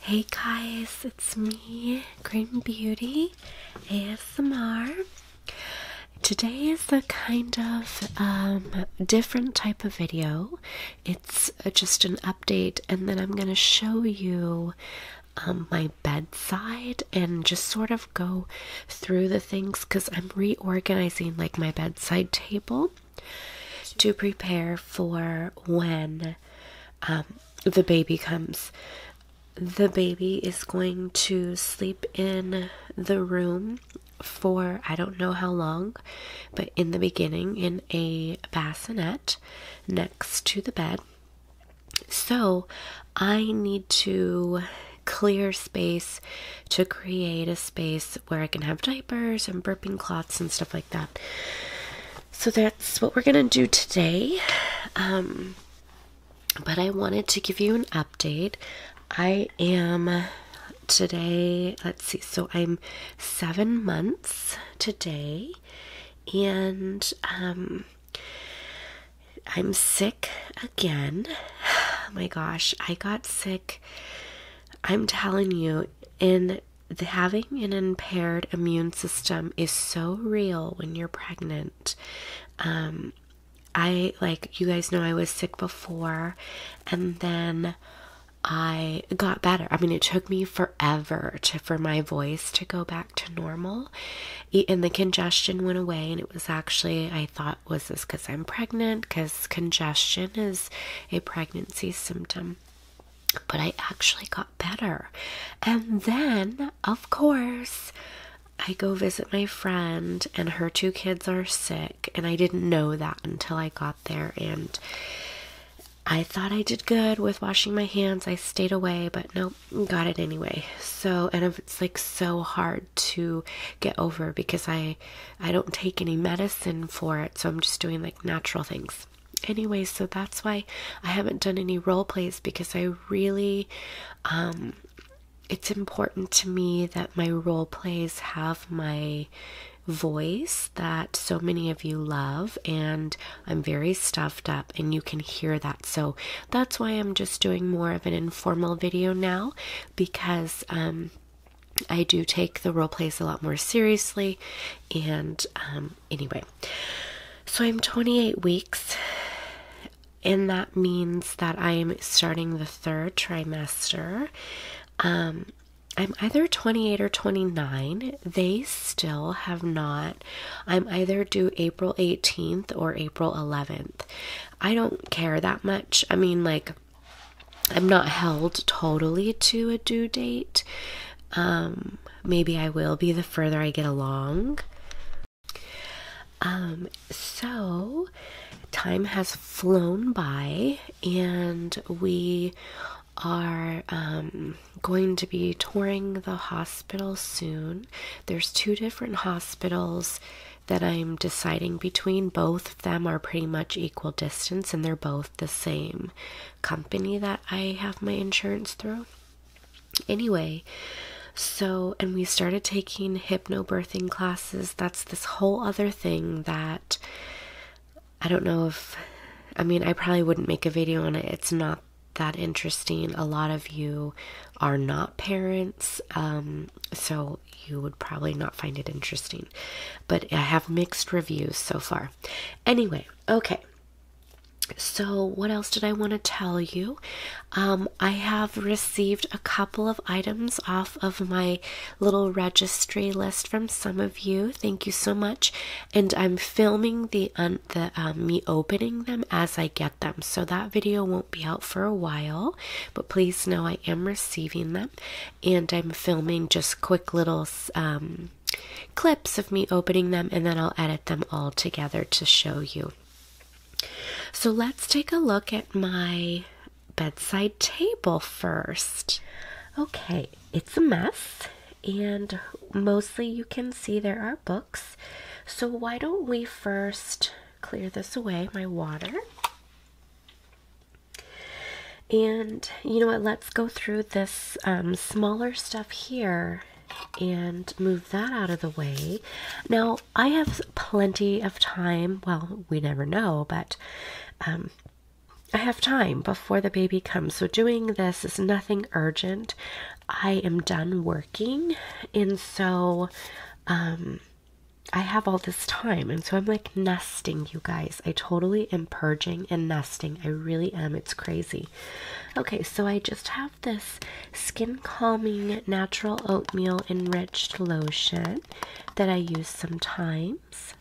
Hey guys, it's me, Green Beauty ASMR. Today is a kind of um, different type of video. It's uh, just an update, and then I'm going to show you um, my bedside and just sort of go through the things because I'm reorganizing like my bedside table to prepare for when um, the baby comes. The baby is going to sleep in the room for I don't know how long, but in the beginning, in a bassinet next to the bed. So I need to clear space to create a space where I can have diapers and burping cloths and stuff like that. So that's what we're gonna do today. Um, but I wanted to give you an update. I am today, let's see, so I'm seven months today, and um, I'm sick again. my gosh, I got sick. I'm telling you, in having an impaired immune system is so real when you're pregnant. Um, I like you guys know I was sick before, and then I got better. I mean, it took me forever for my voice to go back to normal, and the congestion went away. And it was actually I thought was this because I'm pregnant? Because congestion is a pregnancy symptom but I actually got better. And then, of course, I go visit my friend, and her two kids are sick, and I didn't know that until I got there. And I thought I did good with washing my hands. I stayed away, but nope, got it anyway. So, and it's like so hard to get over because I I don't take any medicine for it, so I'm just doing like natural things anyway, so that's why I haven't done any role plays because I really, um, it's important to me that my role plays have my voice that so many of you love, and I'm very stuffed up, and you can hear that. So that's why I'm just doing more of an informal video now because um, I do take the role plays a lot more seriously. And um, anyway, so I'm 28 weeks, and that means that I'm starting the third trimester. Um, I'm either 28 or 29. They still have not. I'm either due April 18th or April 11th. I don't care that much. I mean, like, I'm not held totally to a due date. Um, maybe I will be the further I get along. Um, so time has flown by, and we are um, going to be touring the hospital soon. There's two different hospitals that I'm deciding between. Both of them are pretty much equal distance, and they're both the same company that I have my insurance through. Anyway, so, and we started taking hypnobirthing classes. That's this whole other thing that I don't know if, I mean, I probably wouldn't make a video on it. It's not that interesting. A lot of you are not parents, um, so you would probably not find it interesting but I have mixed reviews so far. Anyway, okay. So, what else did I want to tell you? Um, I have received a couple of items off of my little registry list from some of you. Thank you so much. And I'm filming the, um, the me opening them as I get them. So, that video won't be out for a while, but please know I am receiving them and I'm filming just quick little um, clips of me opening them, and then I'll edit them all together to show you. So let's take a look at my bedside table first. Okay, it's a mess, and mostly you can see there are books. So, why don't we first clear this away, my water? And you know what? Let's go through this um, smaller stuff here and move that out of the way. Now, I have plenty of time. Well, we never know, but um, I have time before the baby comes. So, doing this is nothing urgent. I am done working. And so, um, I have all this time. And so I'm like nesting, you guys. I totally am purging and nesting. I really am. It's crazy. Okay, so I just have this skin calming natural oatmeal enriched lotion that I use sometimes.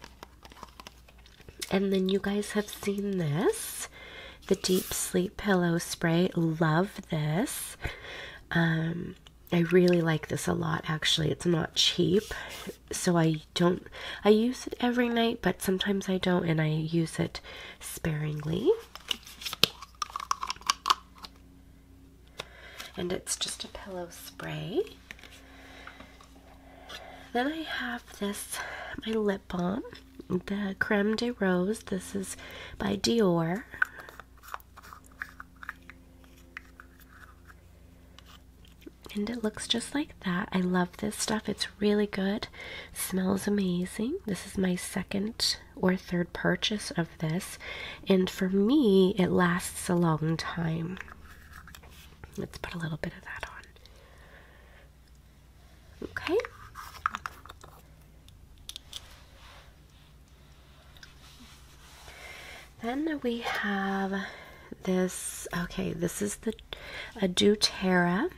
And then you guys have seen this the deep sleep pillow spray. Love this. Um, I really like this a lot, actually. It's not cheap so I don't, I use it every night, but sometimes I don't, and I use it sparingly. And it's just a pillow spray. Then I have this, my lip balm, the Creme de Rose. This is by Dior. And it looks just like that. I love this stuff. It's really good. Smells amazing. This is my second or third purchase of this. And for me, it lasts a long time. Let's put a little bit of that on. Okay. Then we have this. Okay, this is the Adutera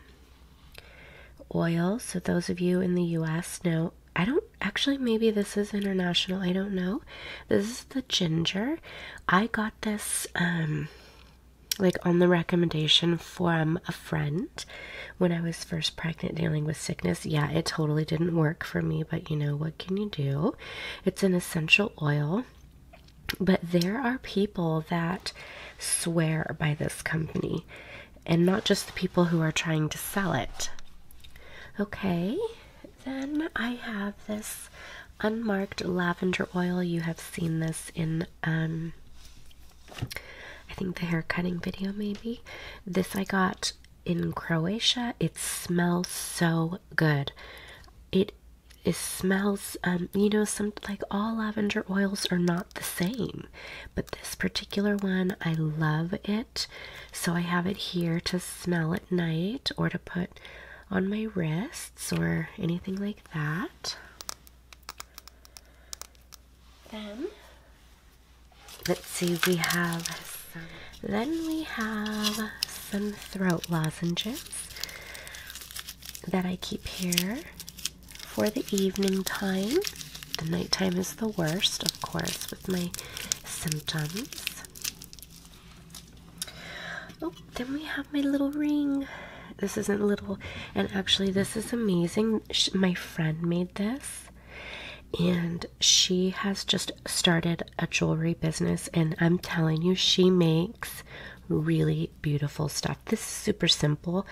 oil. So those of you in the U.S. know. I don't actually. Maybe this is international. I don't know. This is the ginger. I got this. Um, like on the recommendation from a friend when I was first pregnant dealing with sickness. Yeah, it totally didn't work for me, but you know, what can you do? It's an essential oil. But there are people that swear by this company, and not just the people who are trying to sell it. Okay, then I have this unmarked lavender oil. You have seen this in, um, I think the hair cutting video, maybe. This I got in Croatia. It smells so good. It it smells um, you know some like all lavender oils are not the same but this particular one i love it so i have it here to smell at night or to put on my wrists or anything like that then let's see we have then we have some throat lozenges that I keep here for the evening time. The nighttime is the worst, of course, with my symptoms. Oh, then we have my little ring. This isn't little, and actually, this is amazing. my friend made this, and she has just started a jewelry business, and I'm telling you, she makes really beautiful stuff. This is super simple.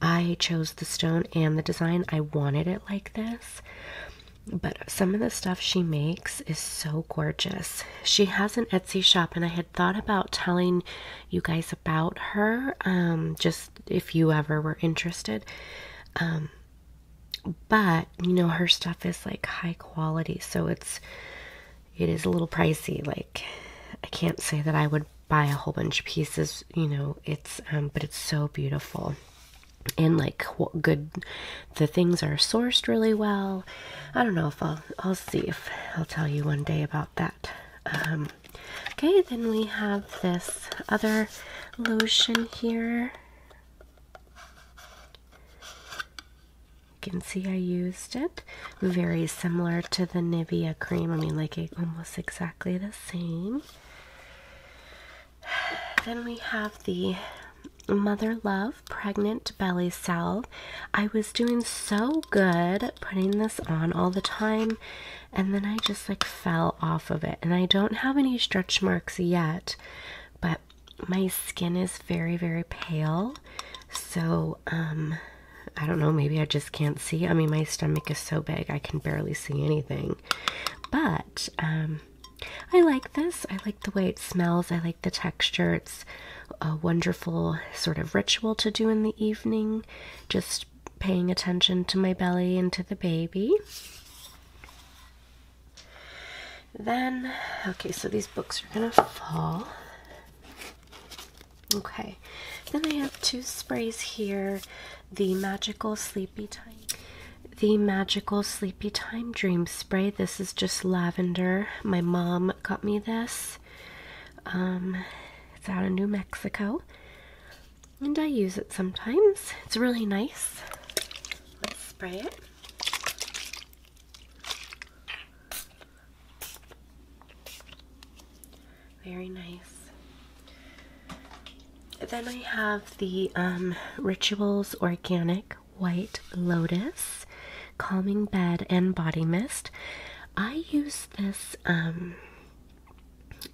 I chose the stone and the design, I wanted it like this. But some of the stuff she makes is so gorgeous. She has an Etsy shop, and I had thought about telling you guys about her, um, just if you ever were interested. Um, but you know her stuff is like high quality so it's it is a little pricey like i can't say that i would buy a whole bunch of pieces you know it's um, but it's so beautiful and like good the things are sourced really well i don't know if i'll i'll see if i'll tell you one day about that um, okay then we have this other lotion here you can see I used it. Very similar to the Nivea cream. I mean, like, it almost exactly the same. Then we have the Mother Love Pregnant Belly Salve. I was doing so good putting this on all the time, and then I just like fell off of it. And I don't have any stretch marks yet, but my skin is very, very pale. So, um, I don't know, maybe I just can't see. I mean, my stomach is so big, I can barely see anything. But, um, I like this. I like the way it smells. I like the texture. It's a wonderful sort of ritual to do in the evening, just paying attention to my belly and to the baby. Then, okay, so these books are gonna fall. Okay, then I have two sprays here the Magical Sleepy Time. The Magical Sleepy Time Dream Spray. This is just lavender. My mom got me this. Um, it's out of New Mexico. And I use it sometimes. It's really nice. Let's spray it. Very nice. Then I have the um, Rituals Organic White Lotus Calming Bed and Body Mist. I use this um,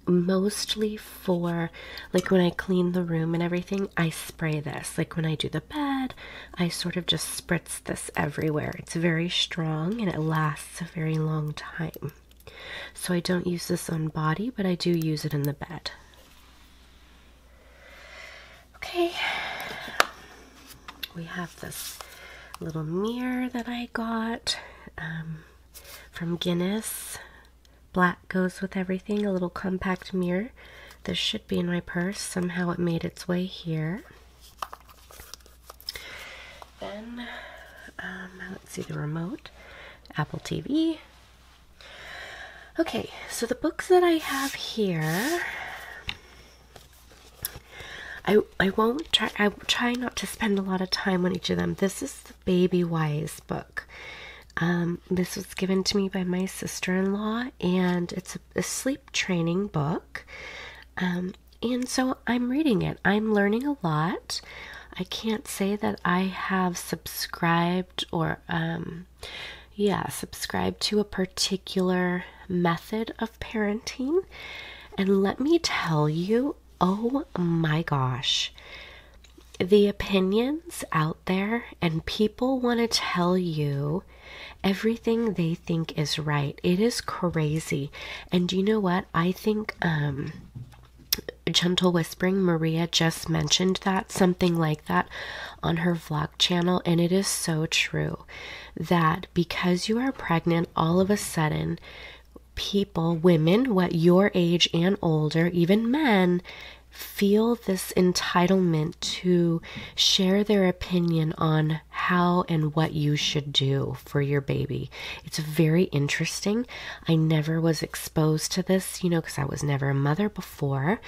mostly for like when I clean the room and everything, I spray this. Like when I do the bed, I sort of just spritz this everywhere. It's very strong and it lasts a very long time. So I don't use this on body, but I do use it in the bed. Okay, we have this little mirror that I got um, from Guinness. Black goes with everything, a little compact mirror. This should be in my purse. Somehow it made its way here. Then, um, let's see the remote, Apple TV. Okay, so the books that I have here, I, I won't try, I will try not to spend a lot of time on each of them. This is the Baby Wise book. Um, this was given to me by my sister in law, and it's a, sleep training book. Um, and so I'm reading it. I'm learning a lot. I can't say that I have subscribed or, um, yeah, subscribed to a particular method of parenting. And let me tell you, oh my gosh, the opinions out there, and people want to tell you everything they think is right. It is crazy. And you know what? I think um Gentle Whispering Maria just mentioned that something like that on her vlog channel and it is so true that because you are pregnant all of a sudden people, women, what your age and older, even men, feel this entitlement to share their opinion on how and what you should do for your baby. It's very interesting. I never was exposed to this, you know, because I was never a mother before.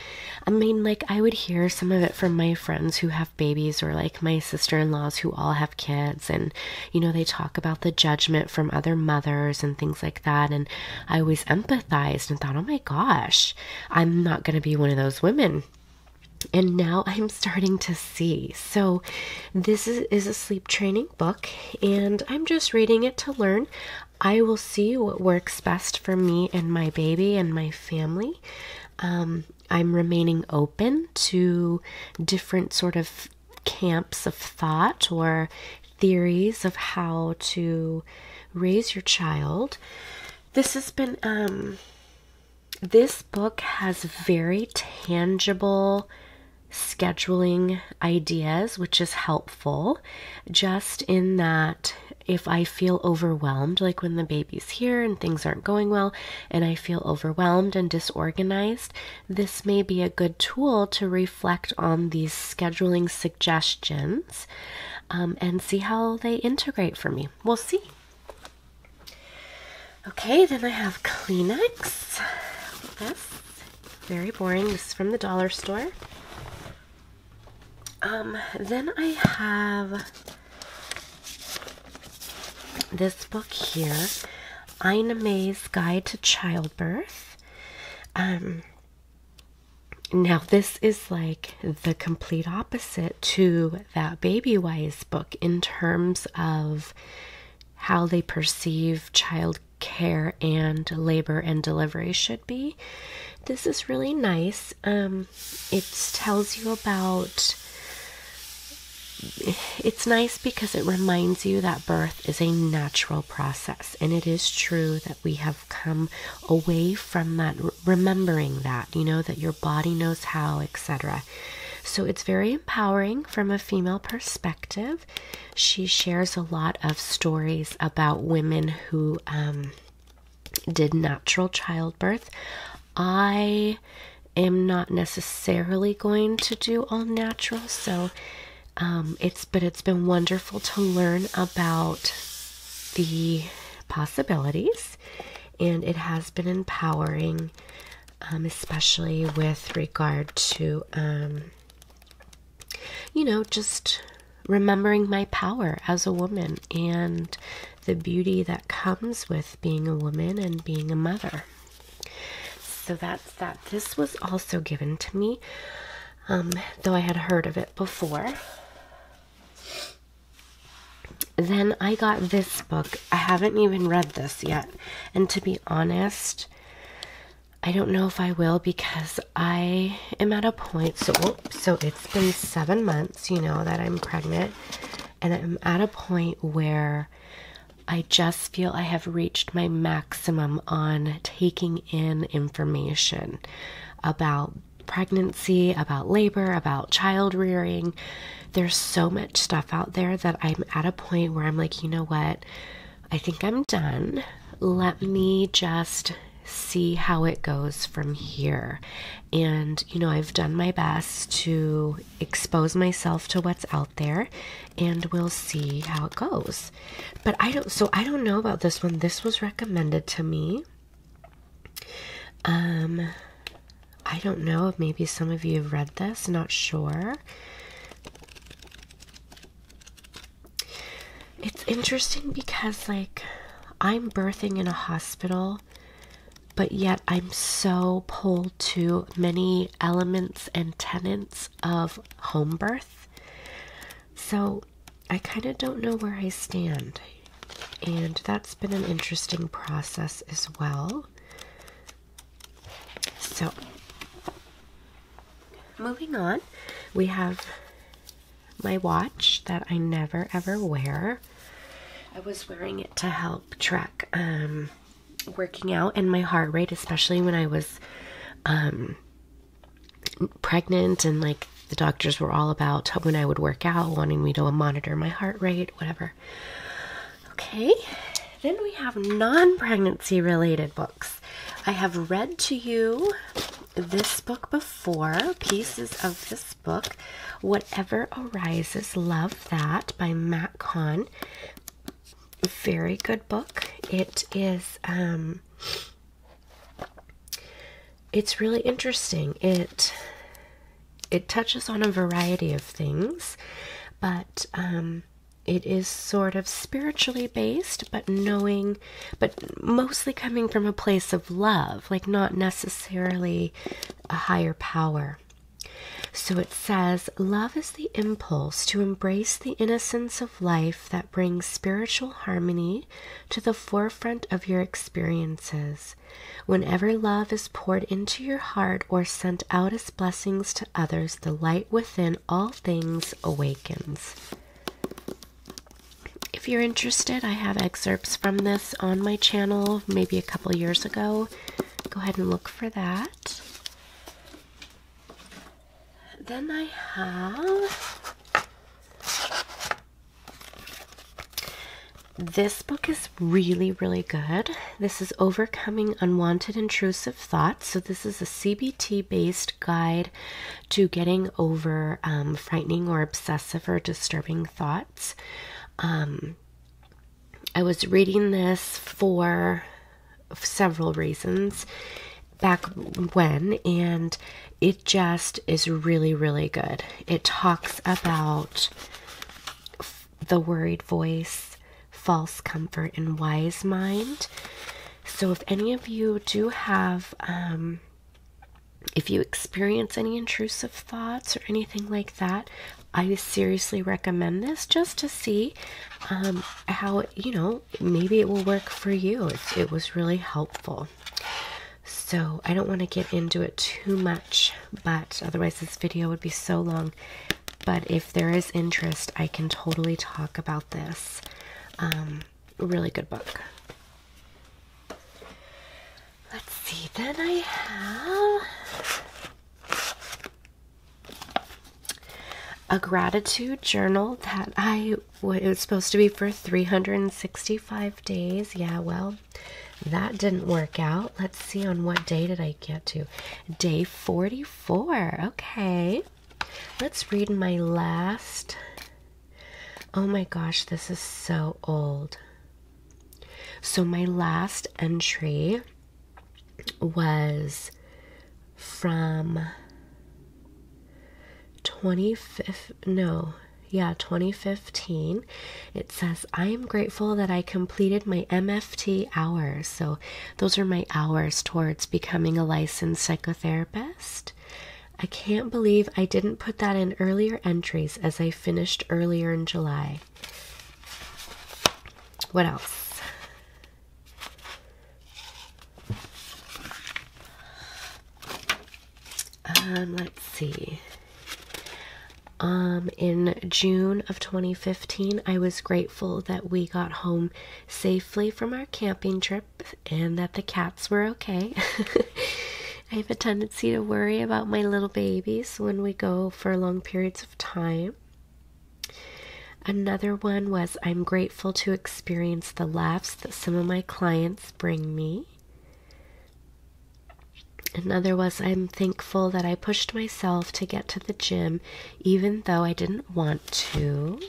I mean, like, I would hear some of it from my friends who have babies or like my sister in laws who all have kids. And, you know, they talk about the judgment from other mothers and things like that. And I always empathized and thought, oh my gosh, I'm not going to be one of those women. And now I'm starting to see. So, this is, a sleep training book, and I'm just reading it to learn. I will see what works best for me and my baby and my family. Um, I'm remaining open to different sort of camps of thought or theories of how to raise your child. This has been, um, this book has very tangible scheduling ideas, which is helpful, just in that if I feel overwhelmed, like when the baby's here and things aren't going well, and I feel overwhelmed and disorganized, this may be a good tool to reflect on these scheduling suggestions um, and see how they integrate for me. We'll see. Okay, then I have Kleenex. This very boring. This is from the dollar store. Um, then I have this book here, Ina May's Guide to Childbirth. Um, now, this is like the complete opposite to that babywise book in terms of how they perceive child care and labor and delivery should be. This is really nice. Um, it tells you about. It's nice because it reminds you that birth is a natural process, and it is true that we have come away from that, remembering that, you know, that your body knows how, etc. So it's very empowering from a female perspective. She shares a lot of stories about women who um, did natural childbirth. I am not necessarily going to do all natural, so um, it's but it's been wonderful to learn about the possibilities, and it has been empowering, um, especially with regard to um, you know just remembering my power as a woman and the beauty that comes with being a woman and being a mother. So that's that. This was also given to me, though I had heard of it before. Then I got this book. I haven't even read this yet. And to be honest, I don't know if I will because I am at a point. So, so it's been seven months, you know, that I'm pregnant, and I'm at a point where I just feel I have reached my maximum on taking in information about pregnancy, about labor, about child rearing. There's so much stuff out there that I'm at a point where I'm like, you know what? I think I'm done. Let me just see how it goes from here. And, you know, I've done my best to expose myself to what's out there, and we'll see how it goes. But I don't, so I don't know about this one. This was recommended to me. Um, I don't know if maybe some of you have read this, not sure. It's interesting because, like, I'm birthing in a hospital, but yet I'm so pulled to many elements and tenets of home birth. So I kind of don't know where I stand. And that's been an interesting process as well. So, moving on, we have my watch that I never ever wear. I was wearing it to help track um, working out and my heart rate, especially when I was um, pregnant and like the doctors were all about when I would work out, wanting me to monitor my heart rate, whatever. Okay, then we have non pregnancy related books. I have read to you this book before, pieces of this book, Whatever Arises, Love That by Matt Kahn. Very good book. It is um, it's really interesting. It it touches on a variety of things, but um, it is sort of spiritually based, but knowing, but mostly coming from a place of love, like not necessarily a higher power. So it says, Love is the impulse to embrace the innocence of life that brings spiritual harmony to the forefront of your experiences. Whenever love is poured into your heart or sent out as blessings to others, the light within all things awakens. If you're interested, I have excerpts from this on my channel maybe a couple years ago. Go ahead and look for that. Then I have this book is really, really good. This is Overcoming Unwanted Intrusive Thoughts. So, this is a CBT based guide to getting over um, frightening or obsessive or disturbing thoughts. Um, I was reading this for several reasons back when, and it just is really, really good. It talks about the worried voice, false comfort, and wise mind. So, if any of you do have, um, if you experience any intrusive thoughts or anything like that, I seriously recommend this just to see um, how, you know, maybe it will work for you. it was really helpful. So I don't want to get into it too much, but otherwise this video would be so long. But if there is interest, I can totally talk about this. Um, really good book. Let's see, then I have a gratitude journal that I it was supposed to be for 365 days. Yeah, well, that didn't work out. Let's see on what day did I get to? Day 44. Okay. Let's read my last. Oh my gosh, this is so old. So my last entry was from 25th no yeah 2015 it says i am grateful that i completed my mft hours so those are my hours towards becoming a licensed psychotherapist i can't believe i didn't put that in earlier entries as i finished earlier in july what else um, let's see. Um, in June of 2015, I was grateful that we got home safely from our camping trip and that the cats were okay. I have a tendency to worry about my little babies when we go for long periods of time. Another one was I'm grateful to experience the laughs that some of my clients bring me. Another was I'm thankful that I pushed myself to get to the gym even though I didn't want to.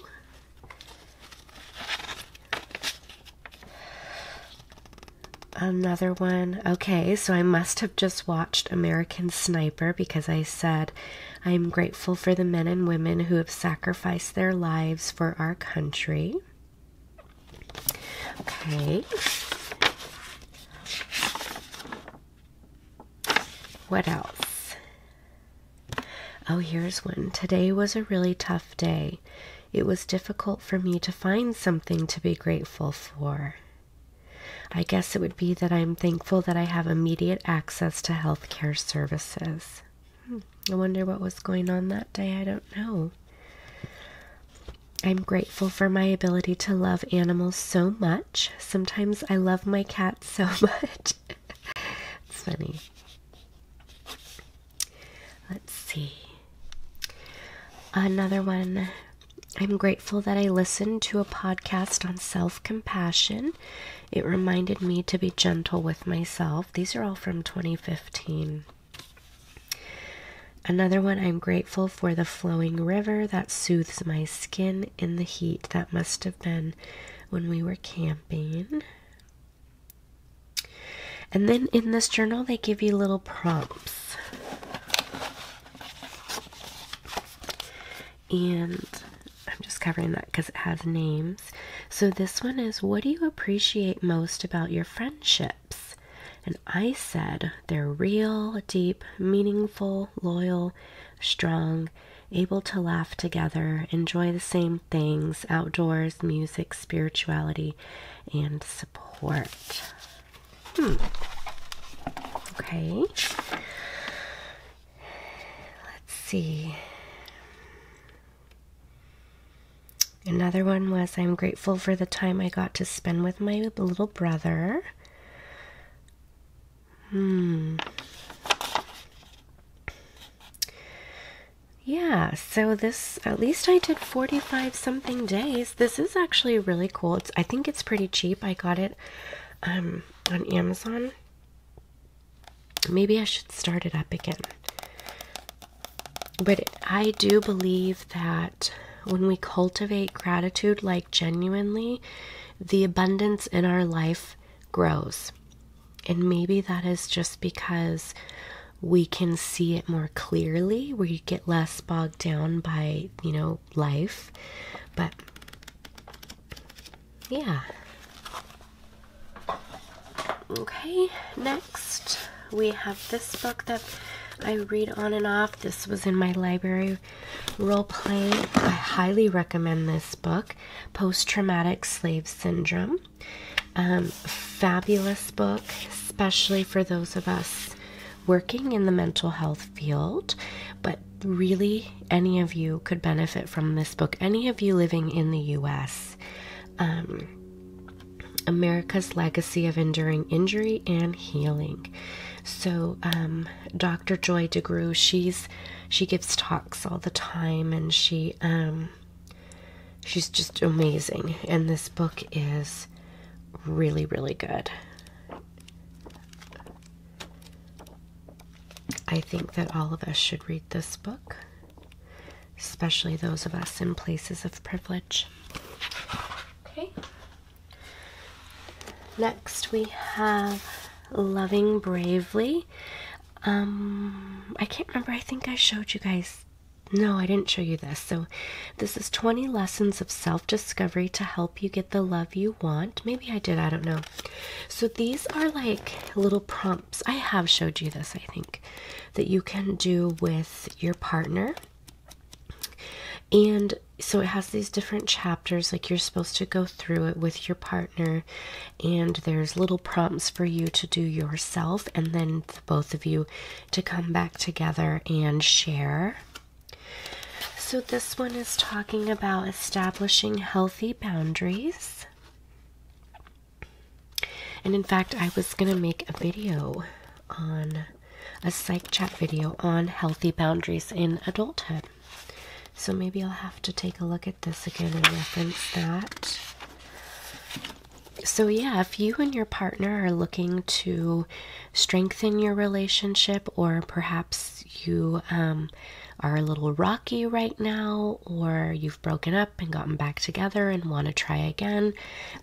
Another one. Okay, so I must have just watched American Sniper because I said I am grateful for the men and women who have sacrificed their lives for our country. Okay. What else? Oh, here's one. Today was a really tough day. It was difficult for me to find something to be grateful for. I guess it would be that I'm thankful that I have immediate access to healthcare services. Hmm. I wonder what was going on that day. I don't know. I'm grateful for my ability to love animals so much. Sometimes I love my cat so much. it's funny. Let's see. Another one. I'm grateful that I listened to a podcast on self compassion it reminded me to be gentle with myself. These are all from 2015. Another one, I'm grateful for the flowing river that soothes my skin in the heat. That must have been when we were camping. And then in this journal, they give you little prompts and I'm just covering that because it has names. So this one is what do you appreciate most about your friendships? And I said they're real, deep, meaningful, loyal, strong, able to laugh together, enjoy the same things, outdoors, music, spirituality, and support. Hmm. Okay. Let's see. Another one was I'm grateful for the time I got to spend with my little brother. Hmm. Yeah, so this, at least I did 45 something days. This is actually really cool. I think it's pretty cheap. I got it um, on Amazon. Maybe I should start it up again. But I do believe that when we cultivate gratitude, like genuinely, the abundance in our life grows. And maybe that is just because we can see it more clearly, where you get less bogged down by, you know, life. But yeah. Okay, next we have this book that I read on and off. This was in my library role play. I highly recommend this book, Post Traumatic Slave Syndrome. Um, fabulous book, especially for those of us working in the mental health field, but really any of you could benefit from this book. Any of you living in the US. Um, America's Legacy of Enduring Injury and Healing. So, um, Dr. Joy DeGruy, she's she gives talks all the time, and she um, she's just amazing. And this book is really, really good. I think that all of us should read this book, especially those of us in places of privilege. Okay. Next, we have Loving Bravely. Um, I can't remember. I think I showed you guys. No, I didn't show you this. So, this is 20 lessons of self discovery to help you get the love you want. Maybe I did, I don't know. So these are like little prompts. I have showed you this, I think, that you can do with your partner. And so it has these different chapters, like you're supposed to go through it with your partner, and there's little prompts for you to do yourself, and then both of you to come back together and share so, this one is talking about establishing healthy boundaries. And in fact, I was going to make a video on a psych chat video on healthy boundaries in adulthood. So, maybe I'll have to take a look at this again and reference that. So, yeah, if you and your partner are looking to strengthen your relationship, or perhaps you um, are a little rocky right now, or you've broken up and gotten back together and want to try again,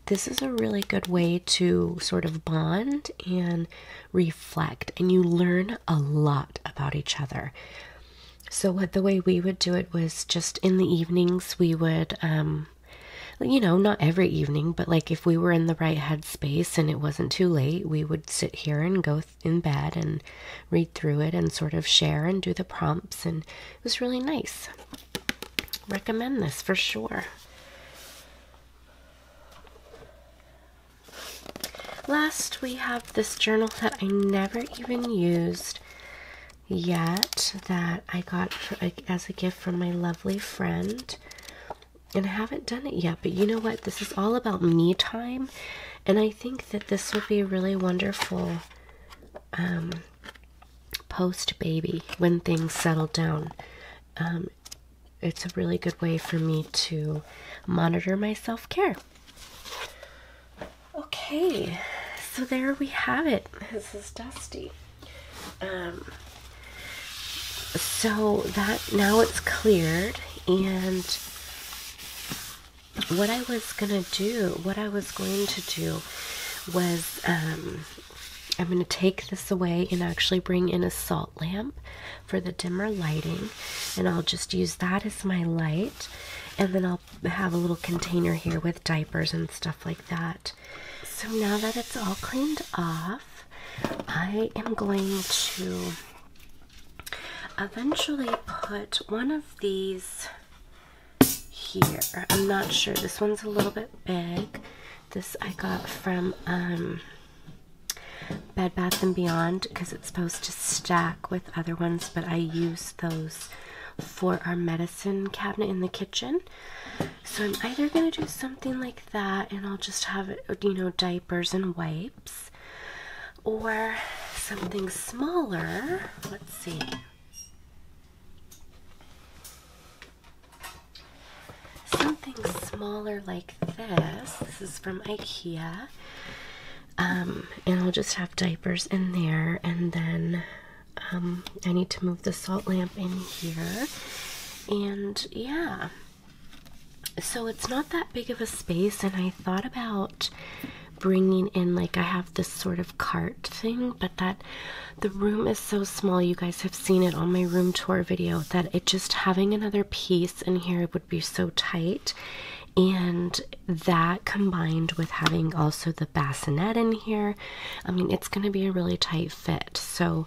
this is a really good way to sort of bond and reflect, and you learn a lot about each other. So, the way we would do it was just in the evenings, we would, um, you know, not every evening, but like if we were in the right headspace and it wasn't too late, we would sit here and go in bed and read through it and sort of share and do the prompts. And it was really nice. Recommend this for sure. Last, we have this journal that I never even used yet that I got as a gift from my lovely friend and I haven't done it yet, but you know what? This is all about me time, and I think that this will be a really wonderful um, post baby when things settle down. Um, it's a really good way for me to monitor my self care. Okay, so there we have it. This is Dusty. Um, so that now it's cleared and what I was gonna do, what I was going to do was um, I'm gonna take this away and actually bring in a salt lamp for the dimmer lighting, and I'll just use that as my light, and then I'll have a little container here with diapers and stuff like that. So now that it's all cleaned off, I am going to eventually put one of these here. I'm not sure. This one's a little bit big. This I got from um, Bed Bath & Beyond because it's supposed to stack with other ones, but I use those for our medicine cabinet in the kitchen. So I'm either going to do something like that and I'll just have, you know, diapers and wipes or something smaller. Let's see. Something smaller like this. This is from IKEA. Um, and I'll just have diapers in there and then um, I need to move the salt lamp in here and yeah so it's not that big of a space and i thought about bringing in like i have this sort of cart thing but that the room is so small you guys have seen it on my room tour video that it just having another piece in here would be so tight and that combined with having also the bassinet in here i mean it's going to be a really tight fit so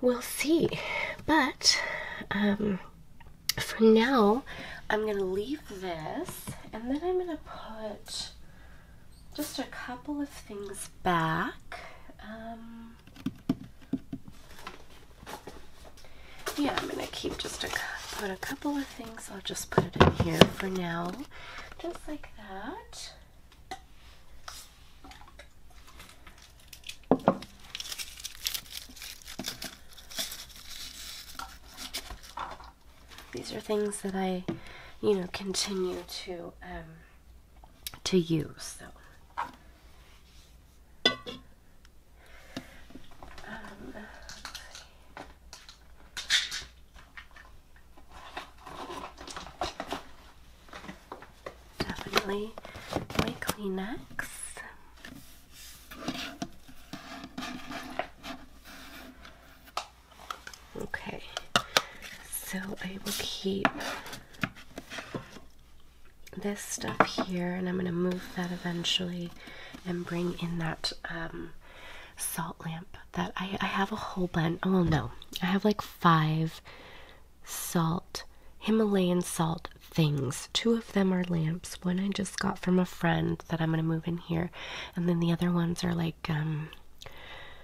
We'll see. But um, for now, I'm going to leave this and then I'm going to put just a couple of things back. Um, yeah, I'm going to keep just a, put a couple of things. I'll just put it in here for now, just like that. These are things that I, you know, continue to um, to use. So. Definitely my Kleenex. Okay, so I will keep this stuff here and I'm going to move that eventually and bring in that um, salt lamp that I, I have a whole bunch. Oh, no, I have like five salt, Himalayan salt things. Two of them are lamps. One I just got from a friend that I'm going to move in here. And then the other ones are like um,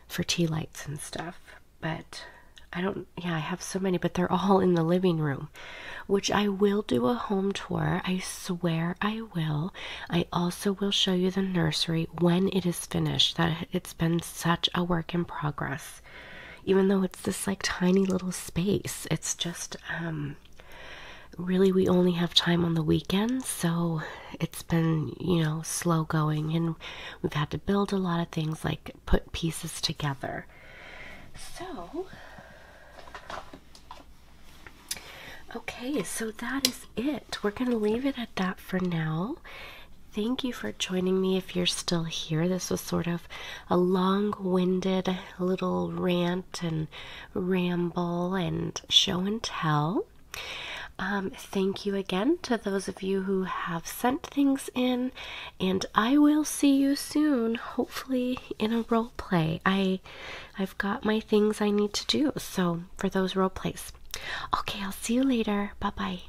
for tea lights and stuff. But I don't, yeah, I have so many, but they're all in the living room, which I will do a home tour. I swear I will. I also will show you the nursery when it is finished. That it's been such a work in progress even though it's this like tiny little space it's just um, really we only have time on the weekends so it's been you know slow going and we've had to build a lot of things like put pieces together so okay so that is it we're going to leave it at that for now Thank you for joining me if you're still here. This was sort of a long winded little rant and ramble and show and tell. Um, thank you again to those of you who have sent things in, and I will see you soon, hopefully in a role play. I, I've got my things I need to do, so for those role plays. Okay, I'll see you later. Bye bye.